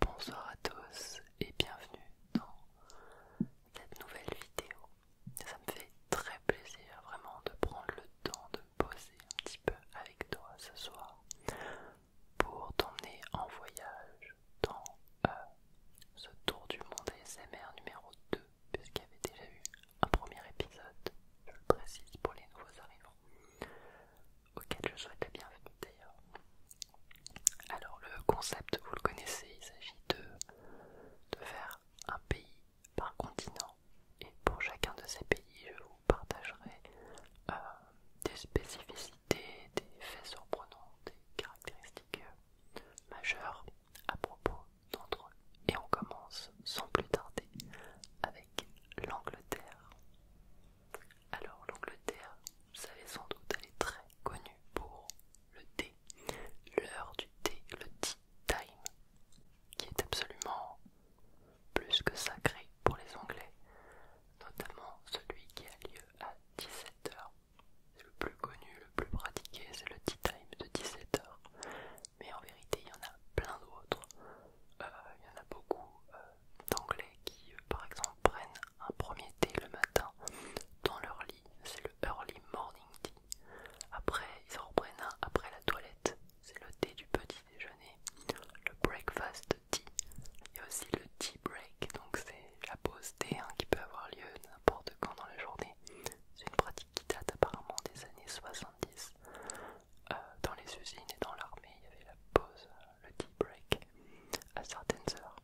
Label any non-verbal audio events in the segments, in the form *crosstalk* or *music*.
Bonsoir à tous et bienvenue dans cette nouvelle vidéo. Ça me fait très plaisir vraiment de prendre le temps de poser un petit peu avec toi ce soir pour t'emmener en voyage dans euh, ce tour du monde ASMR numéro 2 puisqu'il y avait déjà eu un premier épisode, je le précise pour les nouveaux arrivants auquel je souhaite la bienvenue d'ailleurs. Alors le concept, vous le connaissez, il s'agit de, faire un pays par continent et pour chacun de ces pays, je vous partagerai euh, des spécificités, des faits surprenants, des caractéristiques euh, majeures à propos d'entre eux. Et on commence sans plus tarder avec l'Angleterre. Alors l'Angleterre, vous savez sans doute, elle est très connue pour le thé, l'heure du thé, le tea time, qui est absolument plus que sacré pour les Anglais, notamment celui qui a lieu à 17h. C'est le plus connu, le plus pratiqué, c'est le tea time de 17h. Mais en vérité, il y en a plein d'autres. Euh, il y en a beaucoup euh, euh, d'anglais qui, euh, par exemple, prennent un premier thé le matin dans leur lit, c'est le early morning tea. Après, ils en reprennent un après la toilette, c'est le thé du petit déjeuner, le breakfast tea. Il y a aussi le tea break, donc c'est la pause thé hein, qui peut avoir lieu n'importe quand dans la journée. C'est une pratique qui date apparemment des années 70. Euh, dans les usines et dans l'armée, il y avait la pause le tea break à certaines heures.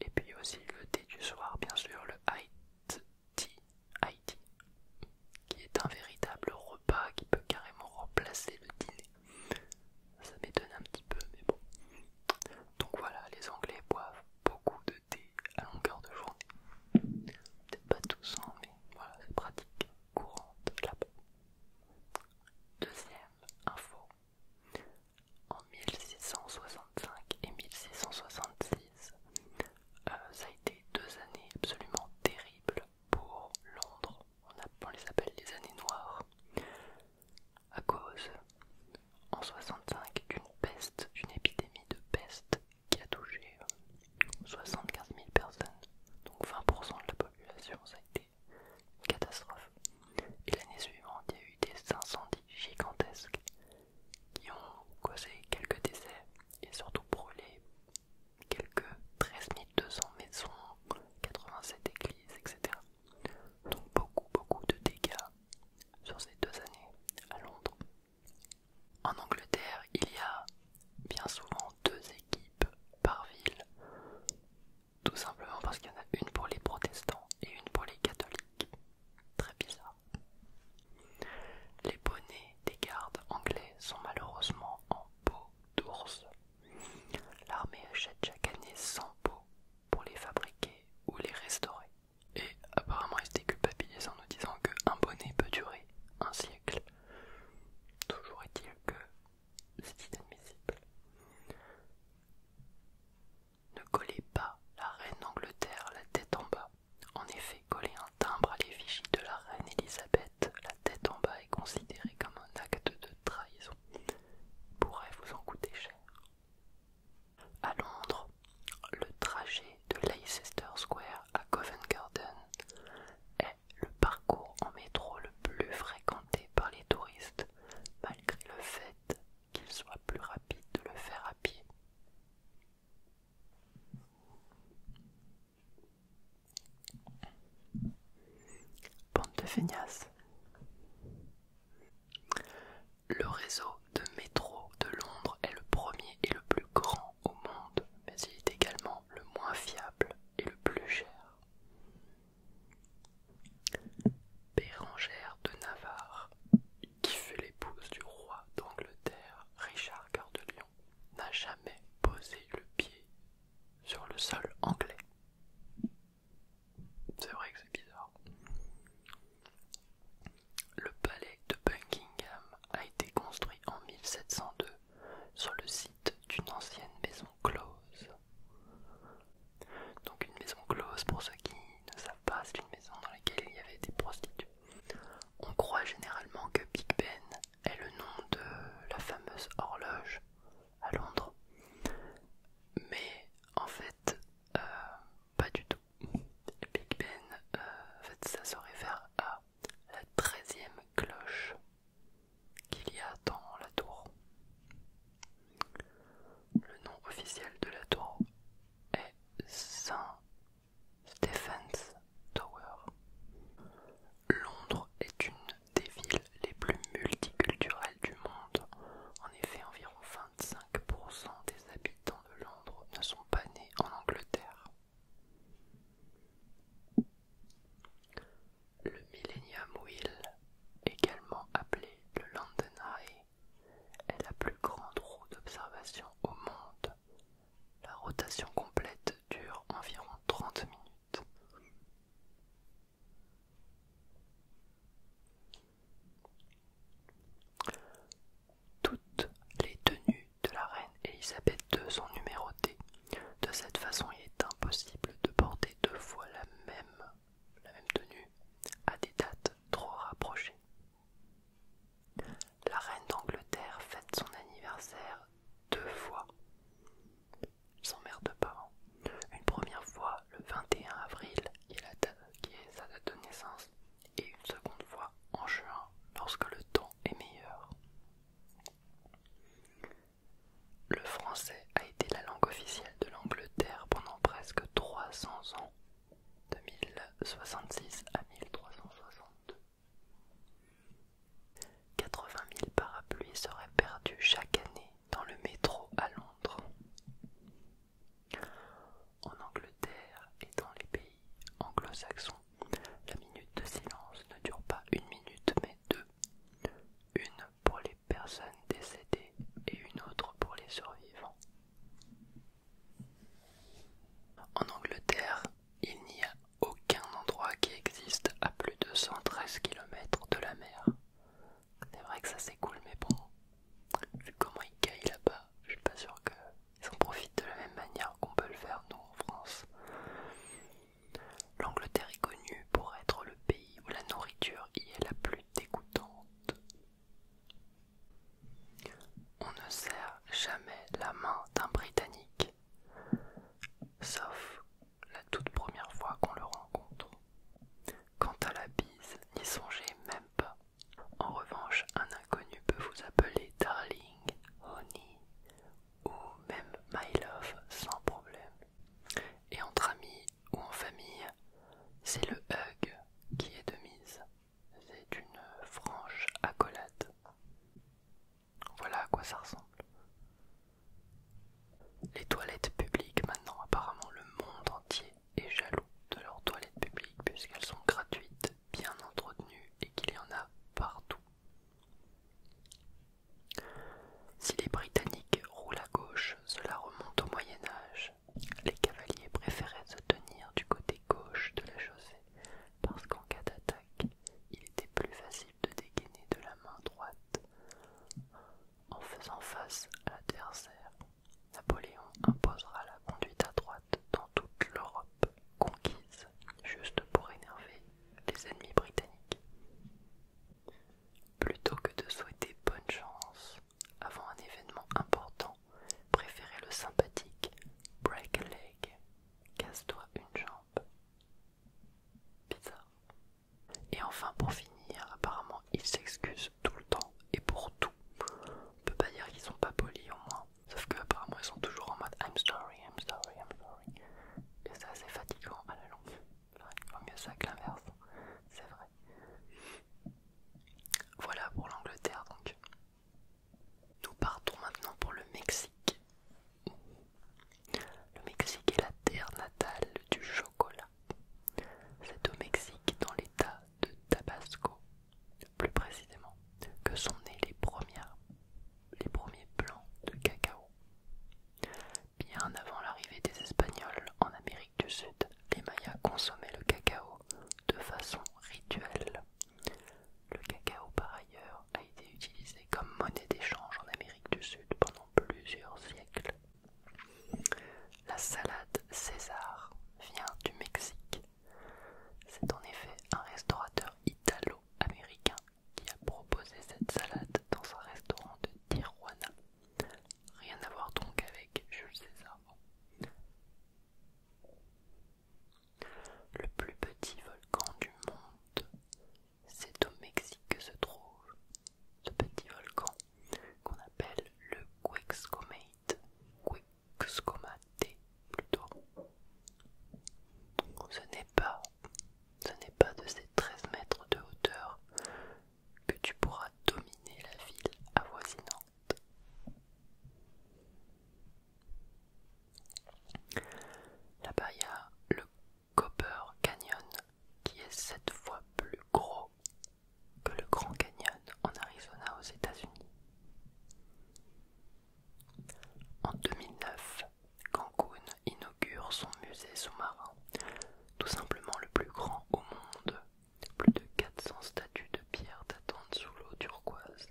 Et puis aussi le thé du soir, bien sûr, le high tea, qui est un véritable repas qui peut carrément remplacer le dîner. Ça m'étonne un petit peu, mais bon. Donc voilà, les Anglais boivent beaucoup de thé à longueur de journée. Peut-être pas tous, en hein, mais voilà, c'est pratique courante la bas Deuxième info, en 1665 et 1666, euh, ça a été deux années absolument terribles pour Londres. On, on les appelle les années noires. À cause, en 65, d'une peste, d'une épidémie de peste qui a touché 75 000 personnes, donc 20% de la population, ça a été catastrophe. Et l'année suivante, il y a eu des incendies gigantesques qui ont causé quelques décès et surtout brûlé quelques 13 200 maisons, 87 églises, etc. Donc beaucoup, beaucoup de dégâts sur ces deux années à Londres. En Angleterre, il y a bien souvent deux équipes par ville. Tout simplement parce qu'il y en a une pour les protestants et une pour les catholiques. Très bizarre. Les bonnets des gardes anglais sont malheureusement en peau d'ours. L'armée achète chaque année 100 peaux pour les fabriquer ou les restaurer. Et apparemment ils se déculpabilisent en nous disant qu'un bonnet peut durer un siècle. Toujours est-il que c'est inadmissible. Ne collez pas la reine d'Angleterre la tête en bas. En effet, coller un timbre à l'effigie de la reine Elisabeth la tête en bas est considéré comme un acte de trahison. Il pourrait vous en coûter cher. À Londres, le trajet de Leicester Square à Covent Garden est le parcours en métro le plus fréquenté par les touristes, malgré le fait qu'il soit plus rapide de le faire à pied. Bande de Le réseau de métro de Londres est le premier et le plus grand au monde, mais il est également le moins fiable et le plus cher. Bérangère de Navarre, qui fut l'épouse du roi d'Angleterre Richard Cœur de Lion, n'a jamais posé le pied sur le sol anglais. C'est vrai que c'est bizarre. Le palais de Buckingham a été construit en 1702 sur le site d'une ancienne maison close donc une maison close pour ceux qui ne savent pas, c'est une maison dans laquelle il y avait des prostituées. On croit généralement que Big Ben est le nom de la fameuse horloge à Londres, mais en fait, euh, pas du tout. Big Ben, euh, fait, ça se réfère à la treizième cloche qu'il y a dans la tour. Le nom officiel de la tour est Saint Stephen's Tower. Londres est une des villes les plus multiculturelles du monde. En effet, environ 25% des habitants de Londres ne sont pas nés en Angleterre. Le Millennium Wheel, également appelé le London Eye, est la plus grande roue d'observation au monde. La rotation complète dure environ 30 minutes. Toutes les tenues de la reine Elisabeth II sont numérotées. De cette façon, il est impossible de porter deux fois la même la même tenue à des dates trop rapprochées. La reine d'Angleterre fête son anniversaire deux fois. Son mère de parents. Une première fois le 21 avril, qui est, sa date de naissance, et une seconde fois en juin, lorsque le temps est meilleur. Le français a la langue officielle de l'Angleterre pendant presque 300 ans, de 1066 à 1362. 80 000 parapluies seraient perdus chaque année dans le métro à Londres. En Angleterre et dans les pays anglo-saxons, la minute de silence ne dure pas une minute mais deux. Une pour les personnes décédées et une autre pour les survivants. En Angleterre, il n'y a aucun endroit qui existe à plus de 113 km de la mer. C'est vrai que ça c'est cool, mais bon, vu comment ils caillent là-bas, je suis pas sûr qu'ils en profitent de la même manière qu'on peut le faire nous en France. L'Angleterre est connue pour être le pays où la nourriture y est la plus dégoûtante. On ne sert jamais la main d'un Britannique, sauf la toute première fois qu'on le rencontre. Quant à la bise, n'y songez même pas. En revanche, un inconnu peut vous appeler darling, honey ou même my love sans problème. Et entre amis, ou en famille, c'est le hug qui est de mise. C'est une franche accolade. Voilà à quoi ça ressemble. Les toilettes publiques maintenant, apparemment le monde entier est jaloux de leurs toilettes publiques puisqu'elles sont gratuites, bien entretenues et qu'il y en a partout. Si les Britanniques roulent à gauche, cela remonte au Moyen Âge. Les cavaliers préféraient se tenir du côté gauche de la chaussée parce qu'en cas d'attaque, il était plus facile de dégainer de la main droite en faisant face à l'adversaire. Napoléon imposera la conduite à droite dans toute l'Europe conquise, juste pour énerver les ennemis britanniques. Plutôt que de souhaiter bonne chance avant un événement important, préférez le sympathique break a leg, casse-toi une jambe. Bizarre. Et enfin, pour finir, apparemment, ils s'excusent tout le temps et pour tout. On peut pas dire qu'ils sont pas polis au moins. Sauf que apparemment ils sont toujours en mode I'm sorry, I'm sorry, I'm sorry. c'est assez fatigant à la longue. Il vaut mieux ça que l'inverse. C'est vrai. Voilà pour l'Angleterre donc. Nous partons maintenant pour le Mexique. Le Mexique est la terre natale du chocolat. C'est au Mexique, dans l'état de Tabasco, plus précisément, que sont nés les, les premiers plants de cacao. Bien avant l'arrivée des Espagnols en Amérique du Sud, les Mayas consommaient le cacao de façon rituelle. Le cacao, par ailleurs, a été utilisé comme monnaie d'échange en Amérique du Sud pendant plusieurs siècles. La salade César vient du Mexique. C'est en effet un restaurateur italo-américain qui a proposé cette salade dans un restaurant de Tijuana Rien à voir donc avec Jules César. Le plus petit volcan du monde, c'est au Mexique que se trouve ce petit volcan qu'on appelle le Quexcomate, Quexcomate plutôt. Ce n'est pas, ce n'est pas de ces 13 mètres de hauteur que tu pourras dominer la ville avoisinante. Là-bas, il y a le Copper Canyon qui est sept fois plus gros que le Grand Canyon en Arizona aux États-Unis. En 2009, Cancun inaugure son musée sous-marin, tout simplement le plus grand au monde plus de 400 statues de pierre t'attendent sous l'eau turquoise.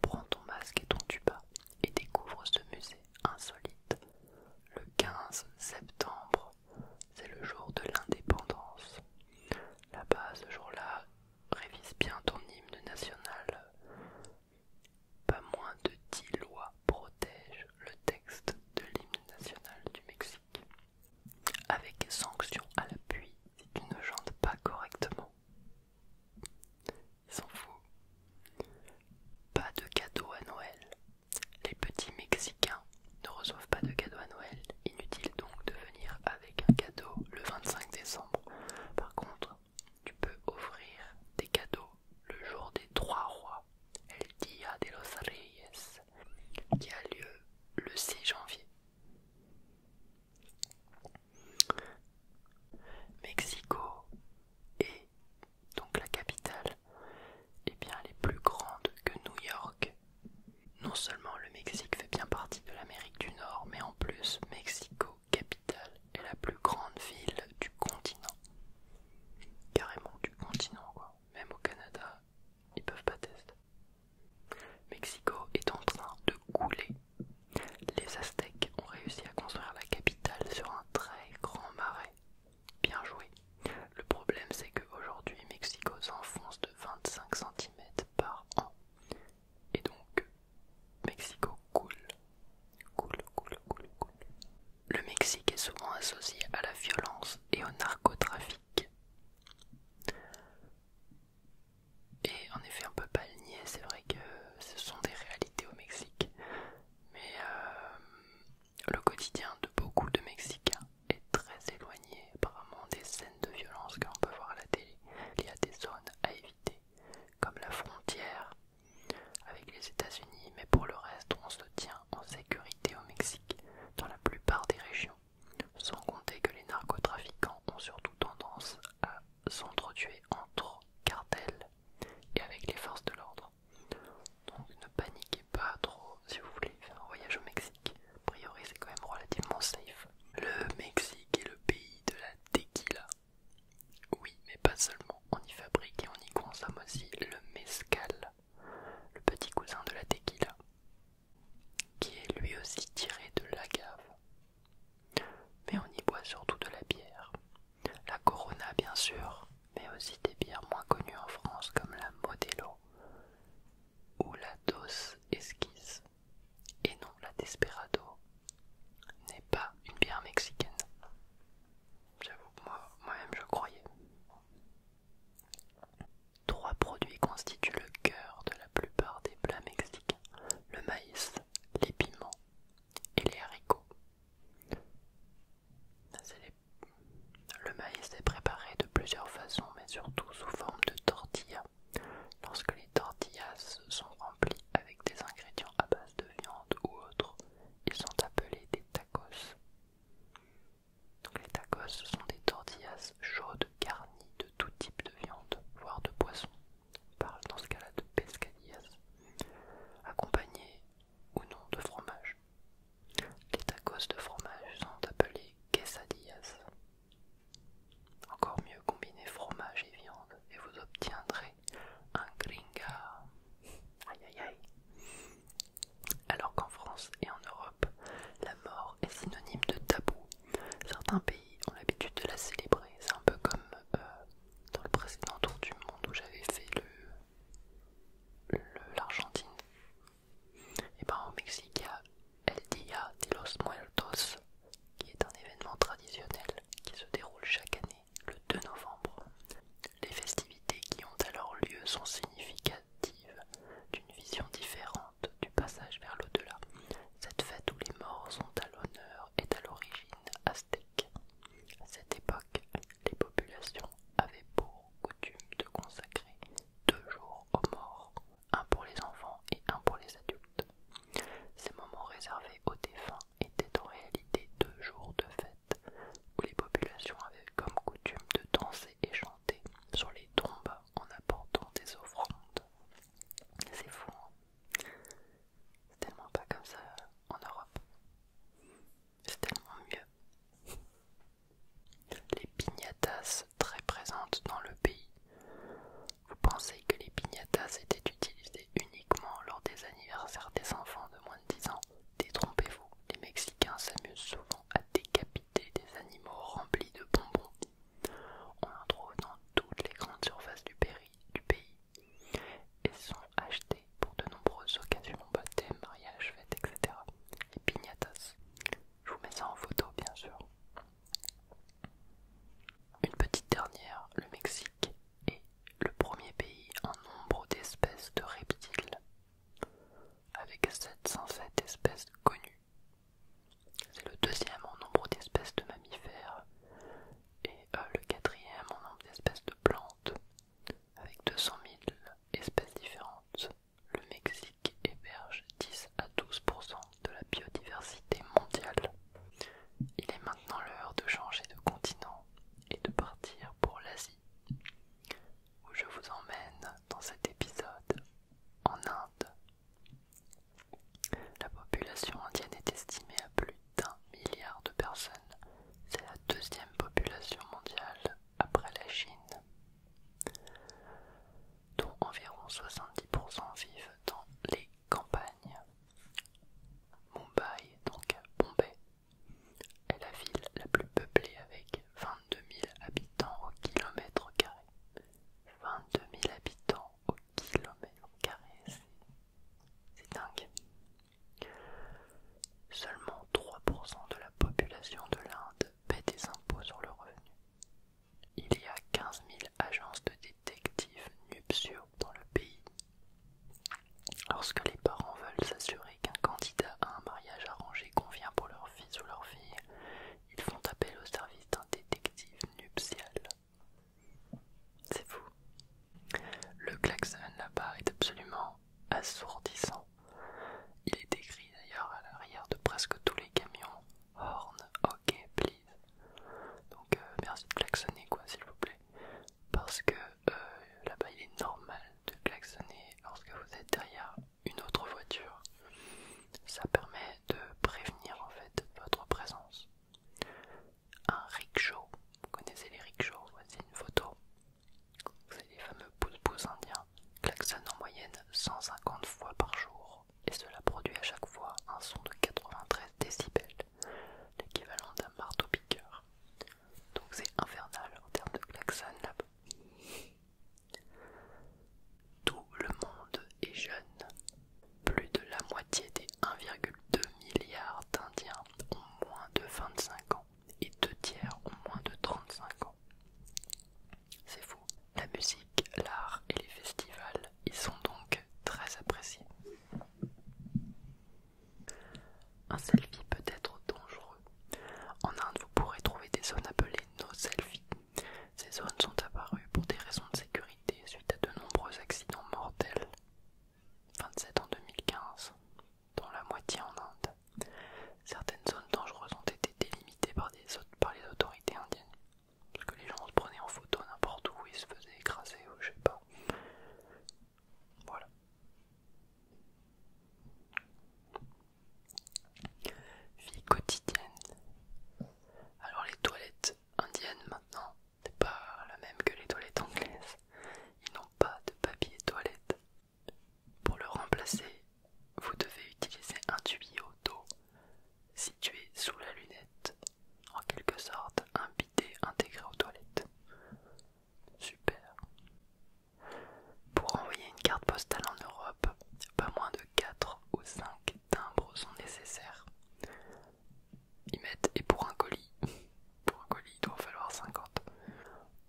Prends ton masque et ton tuba et découvre ce musée insolite. Le 15 septembre, c'est le jour de l'indépendance. Là-bas, ce jour-là, révise bien ton hymne national. Pas moins de 10 lois protègent le texte de l'hymne national du Mexique. Avec sanction à l'appui si tu ne jantes pas correctement. Il s'en fout. Pas de cadeau à Noël. Les petits Mexicains ne reçoivent pas de cadeaux à Noël. Inutile donc de venir avec un cadeau le 25 décembre. Par contre, tu peux offrir des cadeaux le jour des trois rois. El día de los Reyes qui a lieu le 6 janvier. Mexico est donc la capitale et bien elle est plus grande que New York. Non seulement le Mexique fait bien partie de l'Amérique du Nord, mais en plus Mexico capitale est la plus grande ville du continent. Carrément du continent quoi. Même au Canada, ils peuvent pas tester. Mexico est en train de couler. Les Aztèques ont réussi à construire la capitale sur un très grand marais. Bien joué. Le problème c'est qu'aujourd'hui Mexico s'enfonce de 25 cm par an. Et donc Mexico coule. Coule, coule, coule, coule. Le Mexique est souvent associé à la violence et au narcotrafic. Et en effet, on peut pas le nier, c'est vrai que ce sont des réalités au Mexique. Mais euh, le quotidien de beaucoup de Mexicains est très éloigné apparemment des scènes de violence qu'on peut voir à la télé. Il y a des zones à éviter, comme la frontière avec les États-Unis, mais pour le reste, on se tient en sécurité au Mexique, dans la plupart des régions. Sans compter que les narcotrafiquants ont surtout tendance à s'entretuer entre cartels et avec les forces de l'ordre. Donc ne paniquez pas trop si vous voulez faire un voyage au Mexique. A priori c'est quand même relativement safe. Le Mexique est le pays de la tequila. Oui, mais pas seulement. On y fabrique et on y consomme aussi le mezcal, le petit cousin de la tequila qui est lui aussi tiré de la l'agave. Mais on y boit surtout de la bière. La Corona bien sûr, mais aussi des bières moins connues en France comme la Modelo ou la Dos Esquisse. Et non, la Desperado n'est pas une bière mexicaine. J'avoue moi-même je croyais. Trois produits constituent le cœur de la plupart des plats mexicains, le maïs, les piments et les haricots. Le maïs est préparé de plusieurs façons, mais surtout sous forme de tortillas. Lorsque les tortillas sont remplies avec des ingrédients à base de viande ou autres, ils sont appelés des tacos les tacos sont des tortillas chaudes garnies de tout type de viande, voire de poisson. On parle dans ce cas-là de pescadillas, accompagnées ou non de fromage. Les tacos de fromage sont appelés quesadillas. Encore mieux, combinez fromage et viande et vous obtiendrez un gringa. Aïe aïe aïe. Alors qu'en France et en Europe, la mort est synonyme de tabou Certains pays ont l'habitude de la célébrer. C'est un peu comme euh, dans le précédent tour du monde où j'avais fait l'Argentine. Et par ben, au Mexique, il y a El día de los Muertos, qui est un événement traditionnel qui se déroule chaque année le 2 novembre. Les festivités qui ont alors lieu sont significatives d'une vision différente du passage vers l'au-delà, cette fête où les morts sont à l'honneur est à l'origine aztèque. À cette époque, les populations avaient pour coutume de consacrer deux jours aux morts, un pour les enfants et un pour les adultes. Ces moments réservés aux défunts étaient en réalité deux jours de fête où les populations avaient comme coutume de danser et chanter sur les tombes en apportant des offrandes. C'est fou, hein. c'est tellement pas comme ça euh, en Europe. C'est tellement mieux. Les piñatas très présentes dans le pays. Vous pensez que les piñatas étaient utilisées uniquement lors des anniversaires des enfants de moins de 10 ans Détrompez-vous, les Mexicains s'amusent souvent à décapiter des animaux remplis de bonbons on en trouve dans toutes les grandes surfaces du, pays et sont achetées pour de nombreuses occasions, baptêmes, mariages, fêtes, etc. Les piñatas. Je vous mets ça en photo, bien sûr. Une petite dernière, le Mexique est le premier pays en nombre d'espèces de reptiles, avec 707 espèces connues. C'est le deuxième en nombre d'espèces de mammifères et euh, le quatrième en nombre d'espèces de plantes, avec 200 000 espèces différentes. Le Mexique héberge 10 à 12 de la biodiversité mondiale. Il est maintenant l'heure de changer de continent et de partir pour l'Asie, où je vous emmène dans cet épisode en Inde, la population indienne est estimée à plus d'un milliard de personnes. C'est la deuxième population mondiale après la Chine, dont environ 70% vivent dans les campagnes. Mumbai, donc Bombay, est la ville la plus peuplée avec 22 000 habitants au kilomètre carré, 22 000 habitants au kilomètre carré, c'est dingue. Seulement 3% de la population de l'Inde paie des impôts sur le revenu. Il y a 15 000 agences de détectives nuptiaux dans le pays. Lorsque les parents veulent s'assurer qu'un candidat à un mariage arrangé convient pour leur fils ou leur fille, ils font appel au service d'un détective nuptial. C'est fou. Le klaxon là-bas est absolument assourdissant. Il est écrit d'ailleurs à l'arrière de presque tous les camions Horn, ok, please. Donc euh, merci de klaxonner, quoi, s'il vous plaît. Parce que euh, là-bas, il est normal de klaxonner lorsque vous êtes derrière une autre voiture ça permet de prévenir en fait votre présence. Un rickshaw, vous connaissez les rickshaws, voici une photo. C'est les fameux pousse-pousse indiens, klaxonnent en moyenne 150 fois par jour et cela produit à chaque fois un son de 93 décibels, l'équivalent d'un marteau-piqueur. Donc c'est infernal en termes de klaxon là-bas. Tout le monde est jeune. Plus de la moitié des 1,2 milliard d'Indiens ont moins de 25 ans et deux tiers ont moins de 35 ans. C'est fou. La musique, l'art et les festivals ils sont donc très appréciés. Un selfie peut être dangereux. En Inde, vous pourrez trouver des zones appelées no selfies, ces zones sont apparues pour des raisons de sécurité suite à de nombreux accidents mortels, 27 en 2015, dont la moitié en Inde. Certaines zones dangereuses ont été délimitées par, les autorités indiennes, parce que les gens se prenaient en photo n'importe où ils se faisaient écraser ou je sais pas. Voilà. Vie quotidienne. Alors les toilettes Indienne maintenant n'est pas la même que les toilettes anglaises. Ils n'ont pas de papier toilette. Pour le remplacer, vous devez utiliser un tuyau d'eau situé sous la lunette, en quelque sorte un bidet intégré aux toilettes. Super. Pour envoyer une carte postale en Europe, pas moins de 4 ou 5 timbres sont nécessaires. Ils mettent et pour un colis, *laughs* pour un colis il doit falloir 50.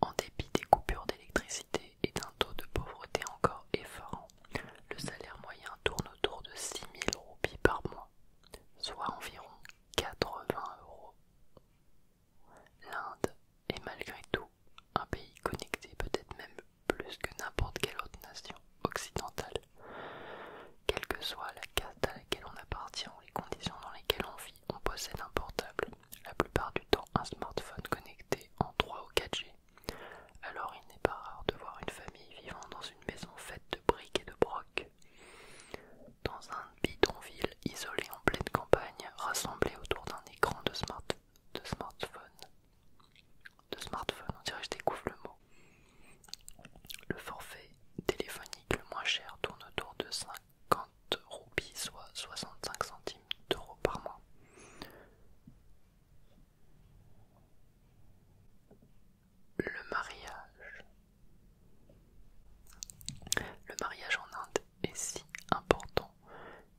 En dépit des coupures d'électricité et d'un taux de pauvreté encore effarant, le salaire moyen tourne autour de 6000 roupies par mois, soit environ 80 euros. L'Inde est malgré tout un pays connecté, peut-être même plus que n'importe quelle autre nation occidentale, quelle que soit la caste à laquelle on appartient ou les conditions dans lesquelles on vit, on possède un portable, la plupart du temps un smartphone connecté en 3 ou 4G. Alors il n'est pas rare de voir une famille vivant dans une maison faite de briques et de brocs, dans un bidonville isolé en pleine campagne, rassemblée autour d'un écran de smartphone de smartphone, on dirait que je découvre le mot. Le forfait téléphonique le moins cher tourne autour de 50 roupies, soit 65 centimes d'euros par mois. Le mariage. Le mariage en Inde est si important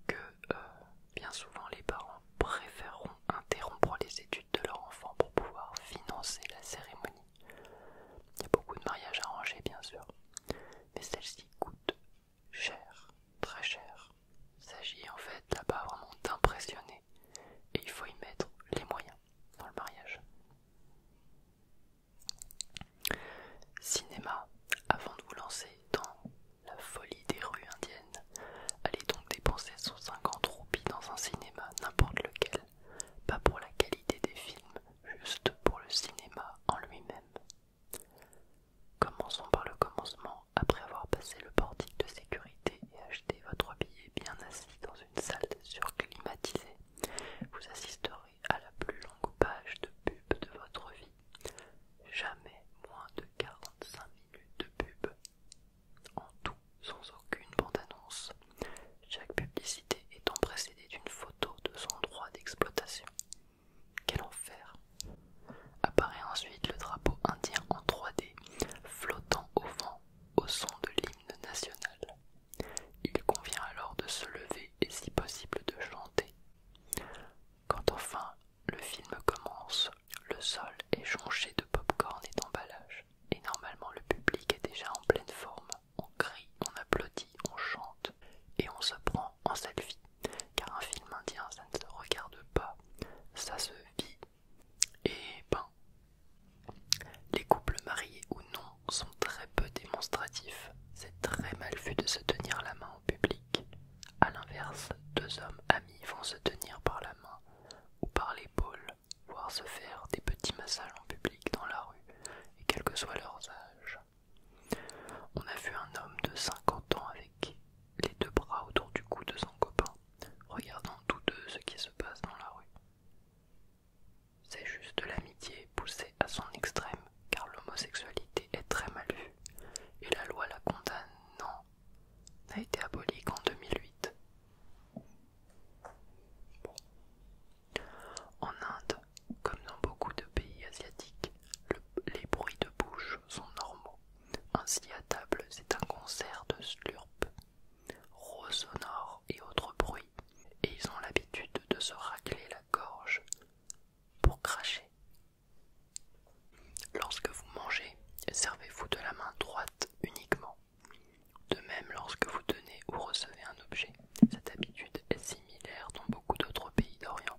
que euh, bien souvent les parents préféreront interrompre les études de leur enfant pour pouvoir financer la cérémonie. Il y a beaucoup de mariages arrangés, bien sûr, mais celle-ci coûte cher, très cher. Il s'agit en fait là-bas vraiment d'impressionner et il faut y mettre les moyens dans le mariage. Cinéma, avant de vous lancer dans la folie des rues indiennes, allez donc dépenser 150 roupies dans un cinéma, n'importe lequel, pas pour la qualité des films, juste pour le cinéma en lui-même. Commençons par le commencement, après avoir passé le portique de sécurité et acheté votre billet bien assis dans une salle surclimatisée, vous assisterez à la plus longue page de pub de votre vie. Jamais moins de 45 minutes de pub. En tout, sans aucune bande-annonce, chaque publicité étant précédée d'une photo de son droit d'exploitation. Quel enfer Apparaît ensuite le drapeau indien en 3D, flottant au vent au son de l'hymne national. Il convient alors de se lever et si possible de chanter. Quand enfin le film commence, le sol est jonché de pop-corn et d'emballage. Et normalement, le public est déjà en pleine forme. On crie, on applaudit, on chante et on se prend en selfie. Car un film indien, ça ne se regarde pas, ça se vit. Et ben, les couples mariés ou non sont très peu démonstratifs. C'est très mal vu de se tenir la main au public. A l'inverse, deux hommes amis vont se tenir par la main ou par l'épaule voir se faire des petits massages en public dans la rue, et quel que soit leur âge. On a vu un homme de 50 ans avec les deux bras autour du cou de son copain, regardant tous deux ce qui se passe dans la rue. C'est juste de l'amitié poussée à son extrême, car l'homosexualité est très mal vue, et la loi la condamnant n'a été aboli qu'en 2008. En Inde, comme dans beaucoup de pays asiatiques, les bruits de bouche sont normaux. Ainsi, à table, c'est un concert de slurp, rose sonores et autres bruits, et ils ont l'habitude de se racler la gorge pour cracher. Lorsque vous mangez, servez-vous de la main droite uniquement. De même, lorsque vous donnez ou recevez un objet, cette habitude est similaire dans beaucoup d'autres pays d'Orient.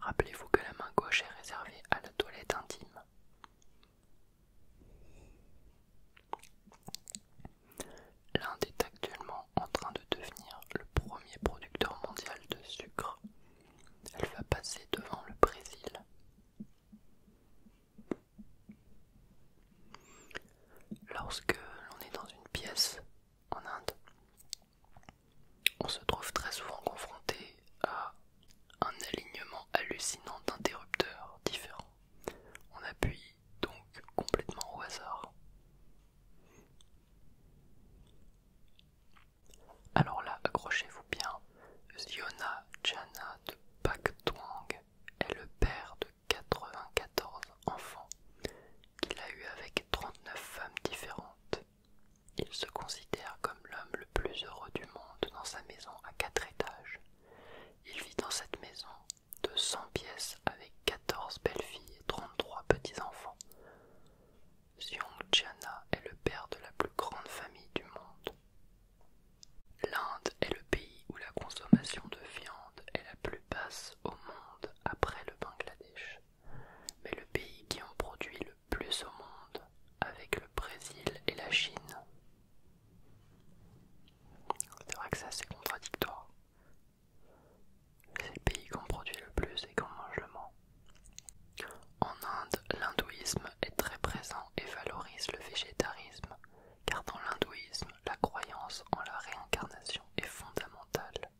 Rappelez-vous que la main gauche est réservée à la toilette intime. L'Inde est actuellement en train de devenir le premier producteur mondial de sucre. Elle va passer devant le Brésil. Lorsque l'on est dans une pièce en Inde, on se trouve très souvent confronté à un alignement hallucinant d'interrupteurs différents. On appuie donc complètement au hasard. Alors là, accrochez-vous bien. Ziona Jana de Pak est le père de 94 enfants qu'il a eu avec 39 femmes différentes. Il se considère comme l'homme le plus heureux du monde dans sa maison à quatre étages. Il vit dans cette maison de 100 pièces avec 14 belles-filles et 33 petits-enfants. Xiong est le père de la plus grande famille du monde. L'Inde est le pays où la consommation de viande est la plus basse au monde après le Bangladesh, mais le pays qui en produit le plus au monde avec le Brésil et la Chine. C'est vrai que c'est contradictoire. C'est le pays qu'on produit le plus et qu'on mange le moins. En Inde, l'hindouisme est très présent et valorise le végétarisme car dans l'hindouisme, la croyance en la réincarnation est fondamentale.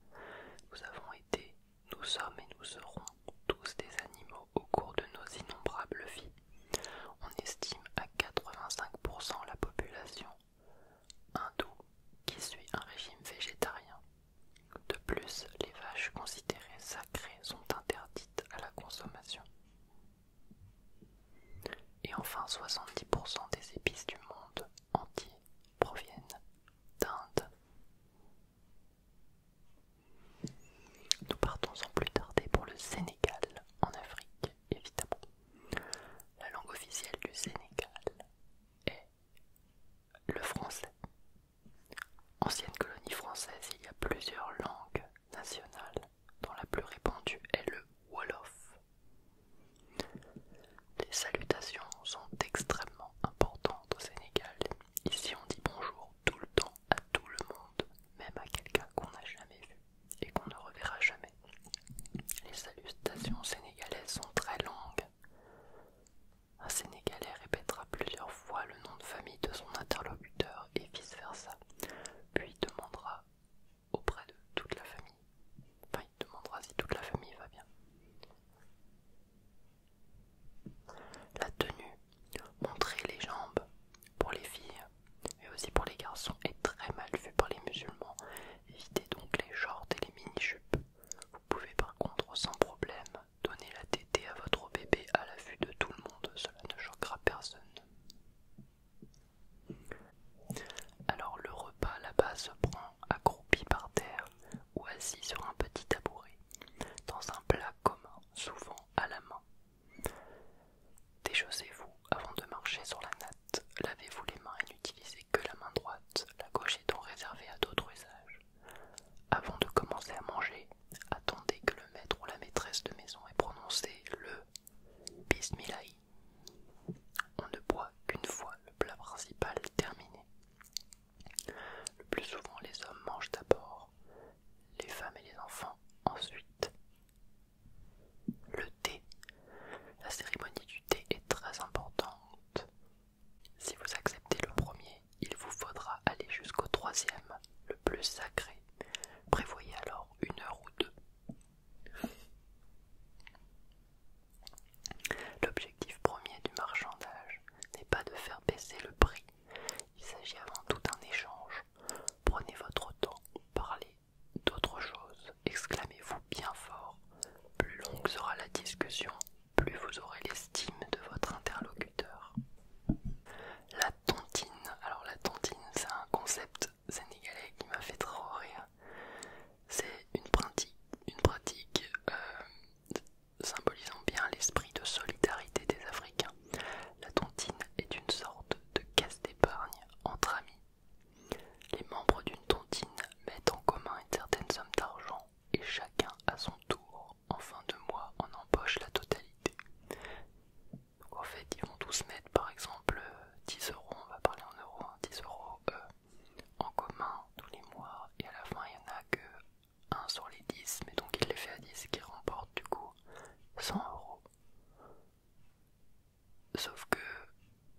Nous avons été, nous sommes et nous serons tous des animaux au cours de nos innombrables vies. On estime à 85% la population hindoue qui suit un régime végétarien. De plus, les vaches considérées sacrées sont interdites à la consommation. Et enfin, 70% des épices du monde entier proviennent d'Inde. Nous partons sans plus tarder pour le Sénégal, en Afrique, évidemment. La langue officielle du Sénégal est le français. Ancienne colonie française, il y a plusieurs langues nationales dont la plus répandue est le Wolof. Les salutations sont extrêmement importantes au Sénégal. Ici, on dit bonjour tout le temps à tout le monde, même à quelqu'un qu'on n'a jamais vu et qu'on ne reverra jamais. Les salutations sénégalaises sont très longues. Un Sénégalais répétera plusieurs fois le nom de famille de son interlocuteur et vice-versa, puis demandera auprès de toute la famille. Enfin, il demandera si toute la famille va bien. La tenue, montrer les jambes pour les filles et aussi pour les garçons est très mal vue par les musulmans. Évitez donc les shorts et les mini-jupes. Vous pouvez par contre sans problème donner la tétée à votre bébé à la vue de tout le monde, cela ne choquera personne. Alors le repas là-bas se prend accroupi par terre ou assis sur un petit tabouret, dans un plat commun, souvent à la main. Déchaussez-vous avant de marcher sur la natte, lavez-vous les mains et n'utilisez que la main droite, la gauche étant réservée à d'autres usages. Avant de commencer à manger, attendez que le maître ou la maîtresse de maison ait prononcé le Bismillahi. On ne boit qu'une fois le plat principal terminé. Le plus souvent, les hommes mangent d'abord, les femmes et les enfants ensuite. Le thé. La cérémonie du thé est très importante. Si vous acceptez le premier, il vous faudra aller jusqu'au troisième, le plus sacré. Prévoyez alors une heure ou deux. L'objectif premier du marchandage n'est pas de faire baisser le prix, il s'agit avant tout d'un échange. Prenez votre temps, parlez d'autre chose, exclamez-vous bien fort. Plus longue sera la discussion, plus vous aurez l'estime de votre interlocuteur. La tontine, alors la tontine c'est un concept sénégalais qui m'a fait trop rire. C'est une pratique, euh, symbolisant bien l'esprit de solidarité des Africains. La tontine est une sorte de caisse d'épargne entre amis. Les membres d'une tontine mettent en commun une certaine somme d'argent et chacun à son tour, en fin de mois, en empoche la totalité en fait, ils vont tous mettre par exemple 10 euh, euros, on va parler en euros, 10 hein, euros euh, en commun tous les mois, et à la fin, il n'y en a que 1 sur les 10, mais donc il les fait à 10 qui remporte du coup 100 euros. Sauf que,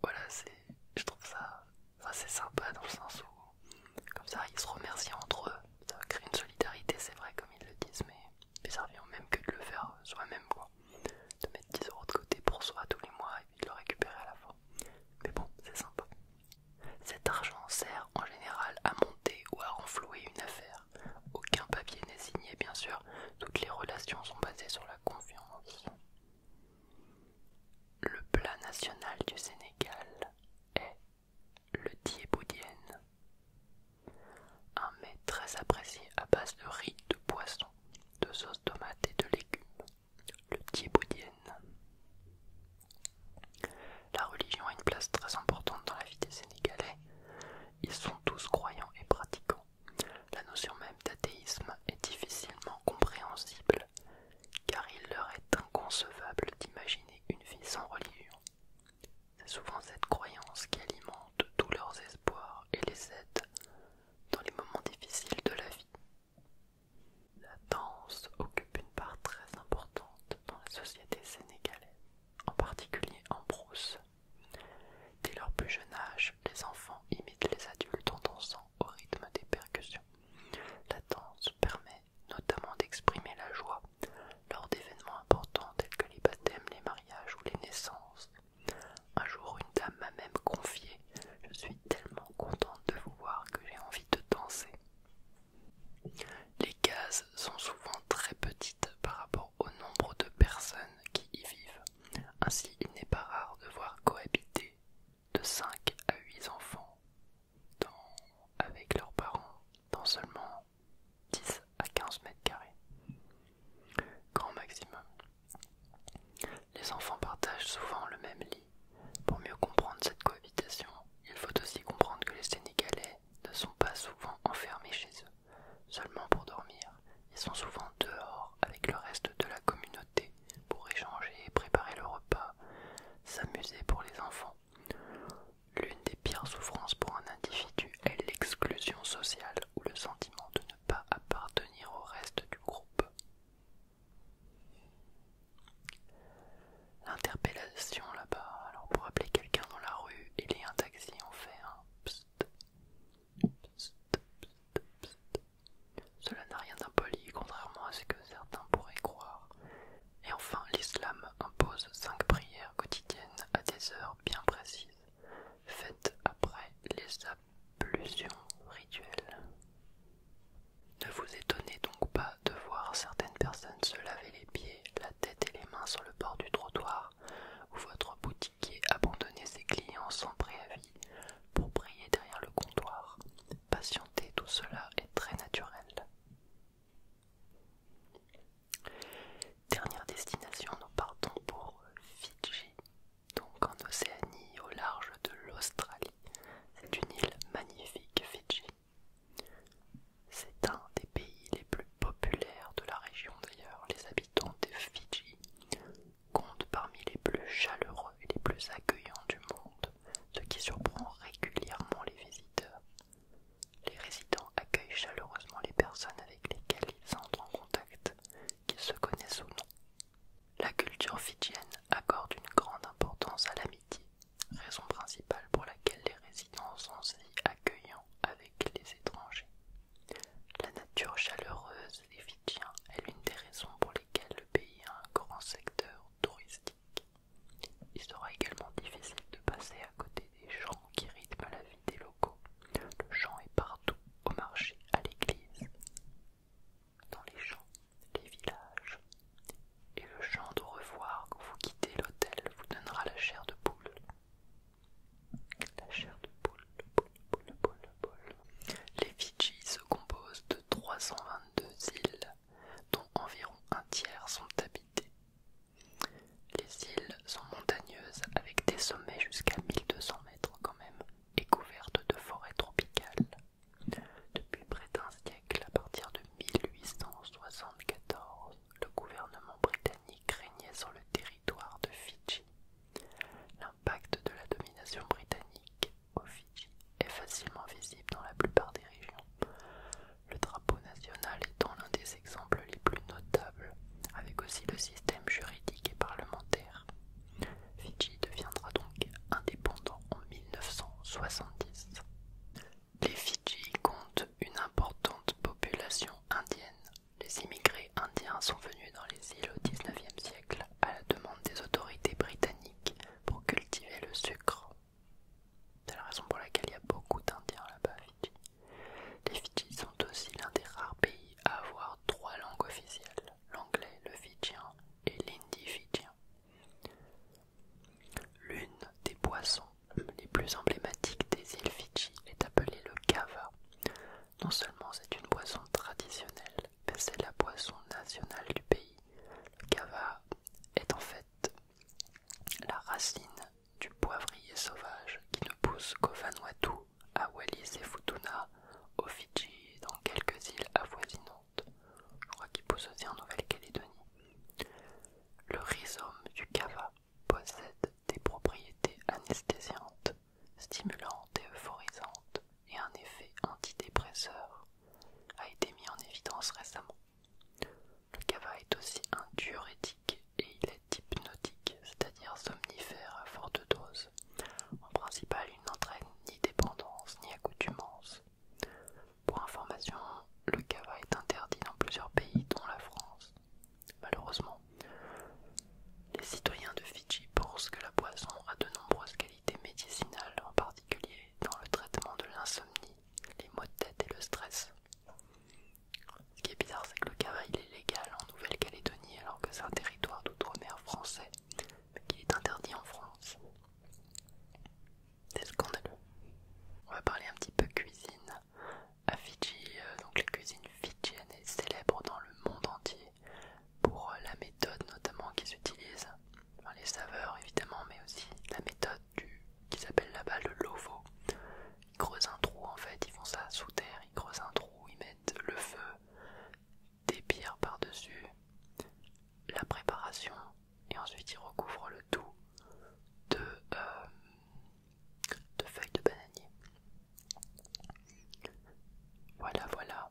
voilà, c'est, je trouve ça assez sympa dans le sens où, comme ça, ils se remercient entre eux, ça crée une solidarité, c'est vrai, comme ils le disent, mais mais ça revient même que de le faire soi-même, quoi. De mettre 10 euros de côté pour soi tous les mois et puis de le récupérer à la fin. Mais bon, c'est sympa. Cet argent sert en général à monter ou à renflouer une affaire. Aucun papier n'est signé, bien sûr. Toutes les relations sont basées sur la confiance. Le plat national du Sénégal est le diéboudienne. Un mets très apprécié à base de riz de poisson de sauce tomate et de légumes, le thieboudienne. La religion a une place très importante dans la vie des Sénégalais. Ils sont tous croyants et pratiquants. La notion même d'athéisme est difficilement compréhensible, car il leur est inconcevable d'imaginer une vie sans religion. C'est souvent cette croyance qui alimente tous leurs espoirs et les aide dans les moments difficiles de la vie. La danse occupe une part très importante dans la société sénégalaise, en particulier en brousse. Dès leur plus jeune âge, les enfants imitent les adultes en dansant au rythme des percussions. La danse permet notamment d'exprimer la joie lors d'événements importants tels que les baptêmes, les mariages ou les naissances, un jour, une dame m'a même confié Je suis tellement contente de vous voir que j'ai envie de danser. Les cases sont souvent très petites par rapport au nombre de personnes qui y vivent. Ainsi, il n'est pas rare de voir cohabiter de 5 à 8 enfants avec leurs parents dans seulement 10 à 15 mètres carrés grand maximum. Les enfants partagent souvent le même lit. Pour mieux comprendre cette cohabitation, il faut aussi comprendre que les Sénégalais ne sont pas souvent enfermés chez eux, seulement pour dormir. Ils sont souvent dehors avec le reste de la communauté pour échanger, préparer le repas, s'amuser pour les enfants. L'une des pires souffrances pour un individu est l'exclusion sociale ou le sentiment de pas appartenir au reste du groupe. L'interpellation là-bas, alors pour appeler quelqu'un dans la rue, il y a un taxi, on fait un Cela n'a rien d'impoli, contrairement à ce que certains pourraient croire. Et enfin, l'islam impose cinq prières quotidiennes à des heures bien précises, faites après les Plusion rituelle. Ne vous étonnez donc pas de voir certaines personnes se laver les pieds, la tête et les mains sur le bord du trottoir, ou votre boutiquier abandonner ses clients sans préavis pour prier derrière le comptoir. Patienter, tout cela est très naturel. Dernière destination, nous partons pour Fidji, donc en Océanie au large de l'Australie. C'est une île magnifique, Fidji. C'est un des pays les plus populaires de la région d'ailleurs. Les habitants des Fidji comptent parmi les plus chaleureux et les plus accueillants du monde, ce qui surprend régulièrement les visiteurs. Les résidents accueillent chaleureusement les personnes avec lesquelles ils entrent en contact qu'ils se connaissent ou non. La culture fidjienne accorde une grande importance à l'amitié, raison principale pour laquelle les résidents sont si accueillants avec les étrangers. La nature chaleureuse des Fidjiens est l'une des raisons pour lesquelles le pays a un grand secteur touristique. Il sera également difficile de passer à côté des gens qui rythment la vie des locaux le chant est partout, au marché, à l'église, dans les champs, les villages. Et le chant de revoir quand vous quittez l'hôtel vous donnera la chair de poule. La chair de poule, poule, poule, poule. Les Fidji se composent de 322 îles, dont environ un tiers sont habitées. Les îles sont montagneuses avec des sommets jusqu'à 1200 mètres quand même, est couverte de forêts tropicales. Depuis près d'un siècle, à partir de 1874, le gouvernement britannique régnait sur le territoire de Fidji. L'impact de la domination britannique aux Fidji est facilement visible dans la plupart des régions, le drapeau national étant l'un des exemples les plus notables, avec aussi le système juridique et parlementaire. Fidji deviendra donc indépendant en 1970. Les Fidji comptent une importante population indienne. Les immigrés indiens sont venus dans les îles au XIXe siècle à la demande des autorités britanniques pour cultiver le sucre. C'est la raison pour laquelle il y a beaucoup d'Indiens là-bas à Fidji. Les Fidji sont aussi l'un des rares pays à avoir trois langues officielles l'anglais, le fidjien et l'indi fidjien. L'une des boissons les plus emblématiques des îles Fidji est appelée le kava. Non seulement c'est une boisson traditionnelle, mais c'est la boisson nationale du pays. Le kava est en fait la racine du poivrier sauvage qui ne pousse qu'au Vanuatu à Wallis et Futuna, au Fidji et dans quelques îles avoisinantes. Je crois qu'il pousse aussi en Nouvelle-Calédonie. Le rhizome du cava possède des propriétés anesthésiantes, stimulantes et euphorisantes et un effet antidépresseur a été mis en évidence récemment. Le cava est aussi un diurétique et il est hypnotique, c'est-à-dire somnifère à forte dose. En principal, il n'entraîne ni dépendance ni accoutumance. Pour information, le kava est interdit dans plusieurs pays, dont la France. Malheureusement, les citoyens de Fidji pensent que la boisson a de nombreuses qualités médicinales, en particulier dans le traitement de l'insomnie, les maux de tête et le stress. Ce qui est bizarre, c'est que le kava est légal en Nouvelle-Calédonie alors que c'est un territoire d'outre-mer français qui est interdit en France. C'est scandaleux. On va parler un petit peu cuisine. À Fidji, euh, donc la cuisine fidjienne est célèbre dans le monde entier pour euh, la méthode notamment qu'ils utilisent, les saveurs évidemment, mais aussi la méthode du, qu'ils appellent là-bas le lovo. Ils creusent un trou en fait, ils font ça sous terre, ils creusent un trou, ils mettent le feu, des par-dessus, la préparation, et ensuite il recouvre le tout de, euh, feuilles de bananier. Voilà, voilà.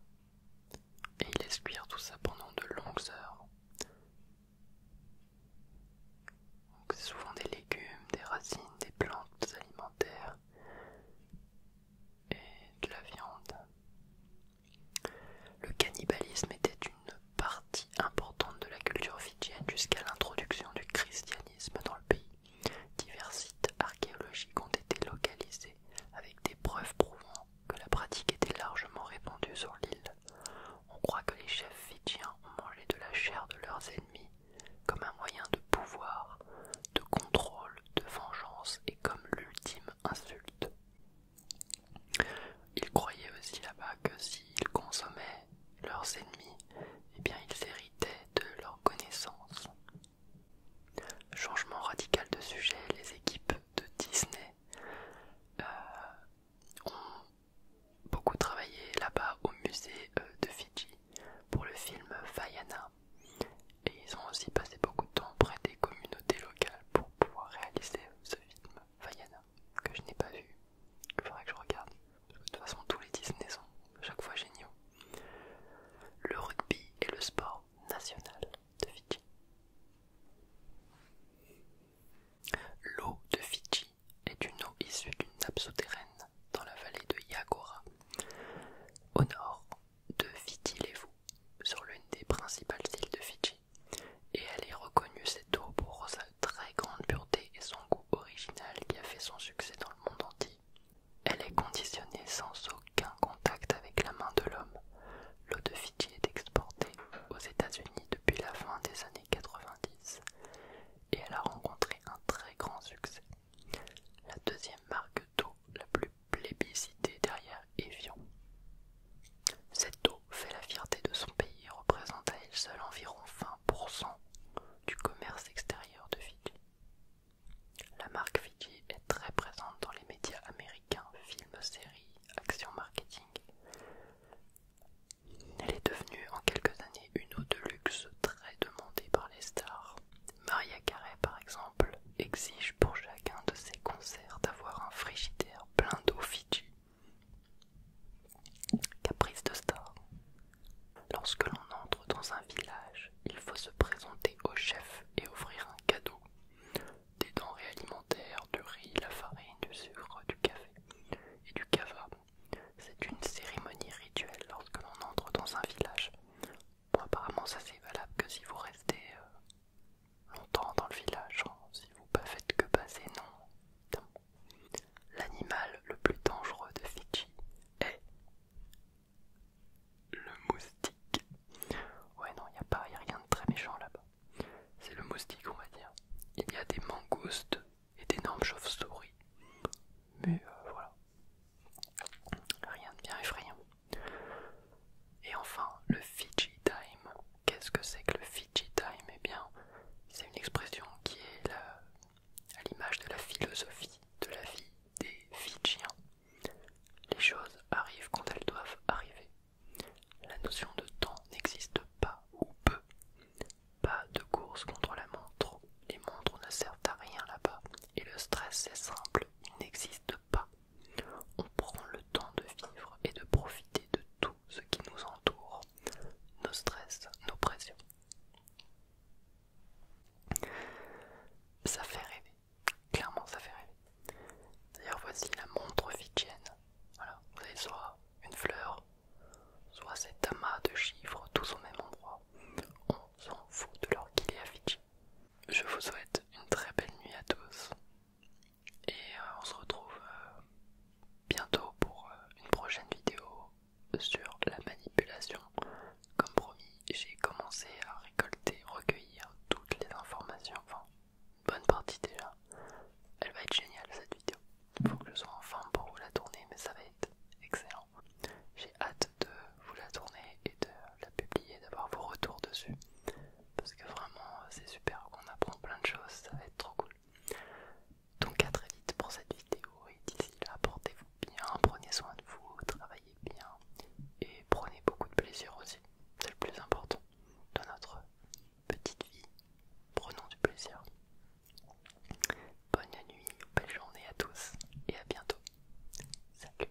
Et il laisse tout ça pendant de longues heures. C'est souvent des légumes, des racines, des plantes alimentaires et de la viande. Le cannibalisme était une partie importante de la culture fidjienne jusqu'à l'introduction du christianisme dans le pays. Divers sites archéologiques ont été localisés avec des preuves prouvant que la pratique était largement répandue sur l'île. On croit que les chefs fidjiens ont mangé de la chair de leurs ennemis comme un moyen de pouvoir, de contrôle de vengeance et comme l'ultime insulte. Ils croyaient aussi là-bas que s'ils consommaient leurs ennemis, eh bien ils héritaient de leurs connaissances. Changement radical de sujet, les équipes de Disney euh, ont beaucoup travaillé là-bas au musée euh, de Fidji pour le film Fayana. Et ils ont aussi passé beaucoup de temps auprès des communautés locales pour pouvoir réaliser ce film Vaiana que je n'ai pas vu, il faudrait que je regarde. de toute façon, tous les Disney sont à chaque fois géniaux. Le rugby est le sport national de Fidji. L'eau de Fidji est une eau issue d'une nappe souterraine dans la vallée de Yagora, au nord de fiti vous sur l'une des principales îles de Fidji, et elle est reconnue cette eau pour sa très grande pureté et son goût original qui a fait son succès dans le monde entier. Elle est conditionnée sans aucun contact avec la main de l'homme. L'eau de Fidji est exportée aux États-Unis depuis la fin des années 90 et elle a rencontré un très grand succès. La deuxième marque d'eau la plus plébiscitée derrière Evian. Cette eau fait la fierté de son pays et représente à elle seule environ 20% du commerce extérieur de Fidji. La marque Fidji est très présente dans les médias américains, films, séries, actions marketing. Elle est devenue en quelques années une eau de luxe très demandée par les stars Maria Carey, par exemple, exige pour chacun de ses concerts d'avoir un frigidaire plein d'eau Fidji. Caprice de star. Lorsque l'on entre dans un village, il faut se présenter au chef et offrir un cadeau. Des denrées alimentaires, du riz, la farine, du sucre, du café et du cava. C'est une cérémonie rituelle lorsque l'on entre dans un village. Bon, apparemment, ça c'est valable que si vous restez euh, longtemps dans le village, hein. si vous ne faites que passer, non. L'animal le plus dangereux de Fidji est le moustique. Ouais, non, il n'y a, pas, rien de très méchant là-bas. C'est le moustique, on va dire. Il y a des mangoustes et d'énormes chauves-souris. Mais euh, voilà. Rien de bien effrayant. Et enfin, le Fiji Time. Qu'est-ce que c'est que le Fiji Time Eh bien, c'est une expression qui est à l'image de la philosophie de la vie des Fijiens. Les choses arrivent quand elles doivent arriver. La notion de temps n'existe pas ou peu. Pas de course contre la montre. Les montres ne servent à rien là-bas. Et le stress, c'est simple, il n'existe pas. On prend le temps de vivre et de profiter de tout ce qui nous entoure, nos stress, nos pressions. Ça fait rêver, clairement ça fait rêver. D'ailleurs voici la montre Fijienne. Voilà, vous avez soit une fleur, soit cet amas de chiffres tous au même endroit. On s'en fout de est à Fidji. Je vous souhaite une très belle nuit à tous et euh, on se retrouve euh, bientôt pour euh, une prochaine vidéo sur la manipulation. Comme promis, j'ai commencé à récolter, recueillir toutes les informations, enfin une bonne partie déjà. Elle va être géniale cette vidéo. Il Faut que je sois en forme pour vous la tourner, mais ça va être excellent. J'ai hâte de vous la tourner et de la publier, d'avoir vos retours dessus. Parce que vraiment, euh, c'est super, on apprend plein de choses, ça va être trop cool. Donc à très vite pour cette vidéo et d'ici là, portez-vous bien, prenez soin de vous, travaillez bien et prenez beaucoup de plaisir aussi. C'est le plus important dans notre petite vie. Prenons du plaisir. Bonne nuit, belle journée à tous et à bientôt. Salut